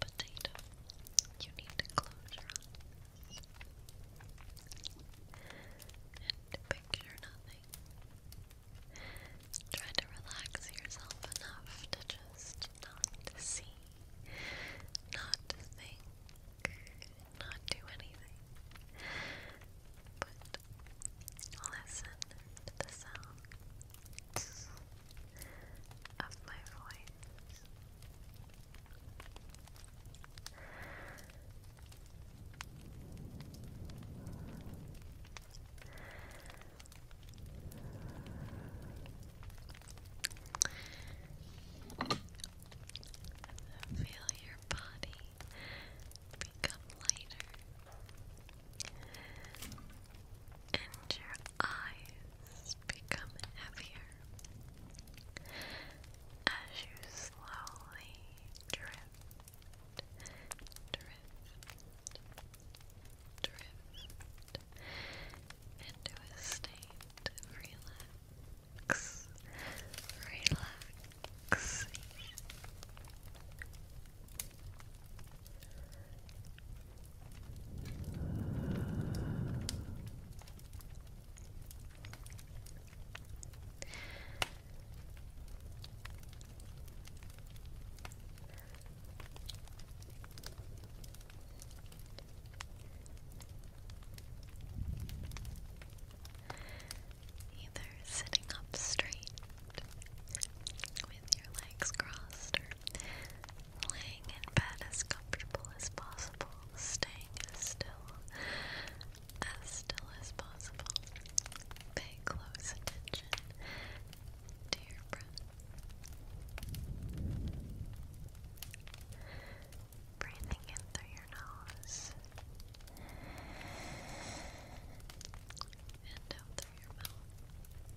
potato, you need to close your eyes and picture nothing. Try to relax yourself enough to just not see, not think, not do anything. But listen to the sound of my voice. Feel your body become lighter and your eyes become heavier as you slowly drift, drift, drift into a state of relax, relaxation. Either sitting up straight with your legs crossed laying in bed as comfortable as possible, staying as still as still as possible. Pay close attention to your breath. Breathing in through your nose and out through your mouth.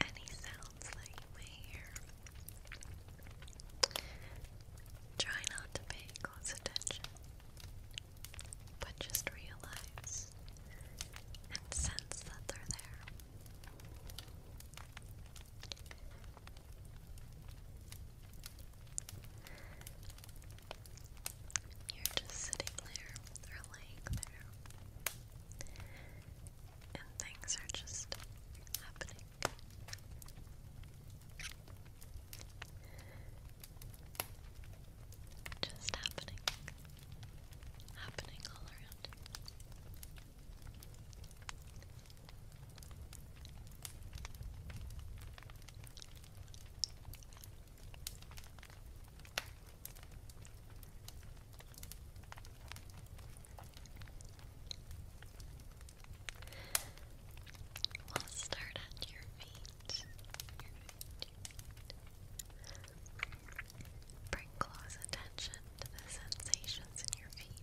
And he sounds like my hair. Try not to pay close attention, but just realize and sense that they're there. You're just sitting there or laying there, and things are just happening. Just happening. Happening all around. We'll start at your feet. Bring close attention to the sensations in your feet.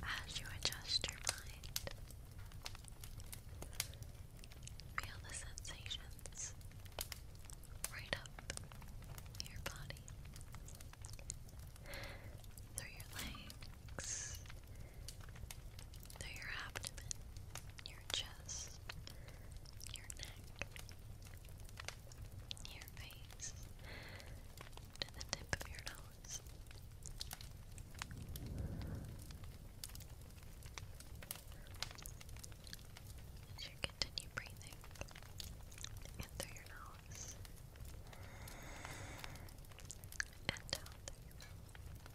As you adjust your mind, feel the sensations right up your body, through your legs, through your abdomen, your chest, your neck, your face, to the tip of your nose. As you continue breathing in through your nose and out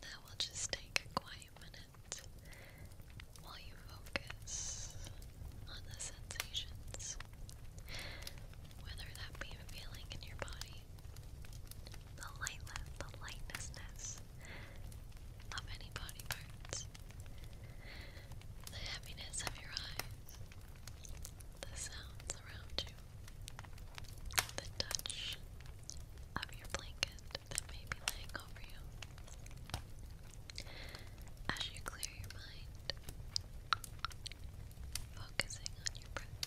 Now we'll just take a quiet minute while you focus on the sensations, whether that be a feeling in your body, the lightness, the lightnessness of any body parts, the heaviness of your eyes, the sounds around you, the touch of your blanket that may be laying over you. As you clear your mind, focusing on your breath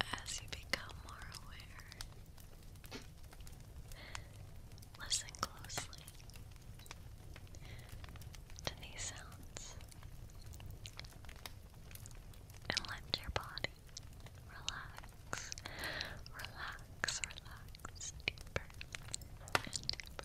As you become more aware, listen closely to these sounds and let your body relax, relax, relax deeper and deeper.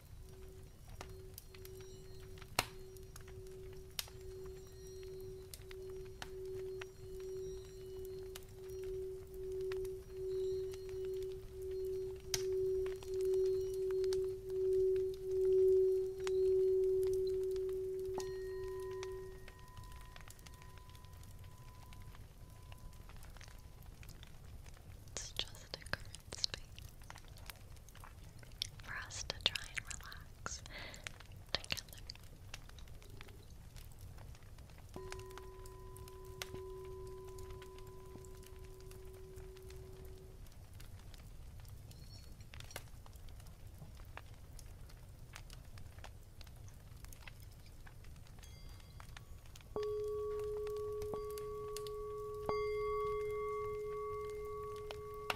It's just a current space for us to try and relax together.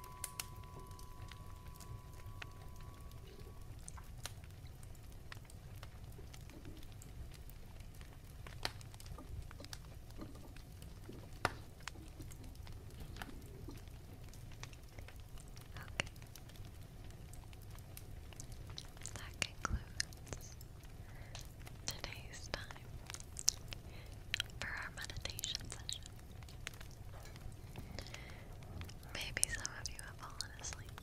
That concludes today's time for our meditation session. Maybe some of you have fallen asleep.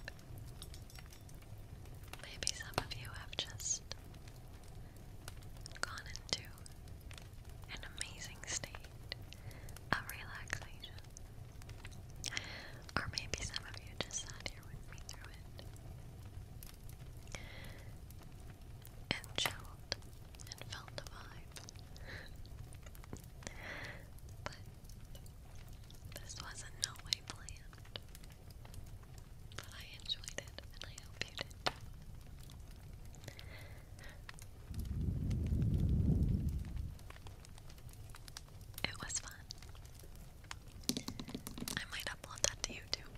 Maybe some of you have just gone into an amazing state of relaxation. Or maybe some of you just sat here with me through it and chilled and felt the vibe. but this was in no way planned. But I enjoyed it and I hope you did It was fun. I might upload that to YouTube.